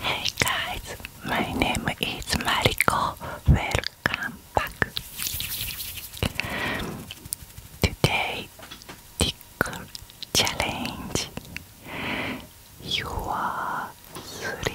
Hey guys, my name is Mariko. Welcome back. Today, tickle challenge. You are sleep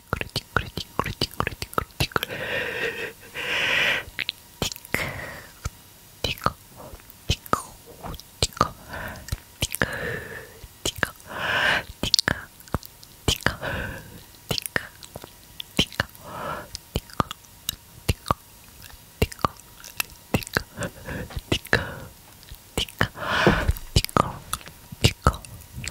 띵그레 띵그레 띵그레 띵그레 띵그레 띵그레 띵크 띵크 띵크 띵크 띵크 띵크 띵크 띵크 띵크 띵크 띵크 띵크 띵크 띵크 띵크 띵크 띵크 띵크 띵크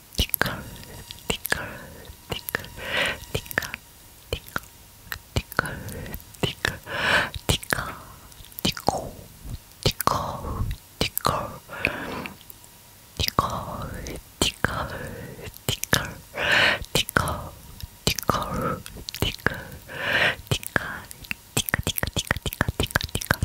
티컬 티컬 티컬 티컬 티컬 티컬 티컬 티컬 티코 티컬 티컬 티컬 티컬 티컬 티컬 티컬 티컬 티컬 티컬 티컬 티컬 티컬 티컬 티컬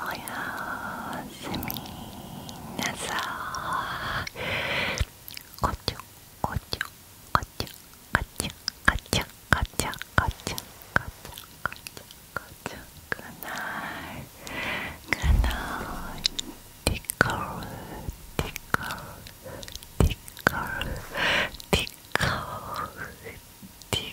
おやすみなさいこちょこちょこちょこちょこちょこちょこちょこちょこちょこちょくないくないティックルティックルティックルティックルティックルティッ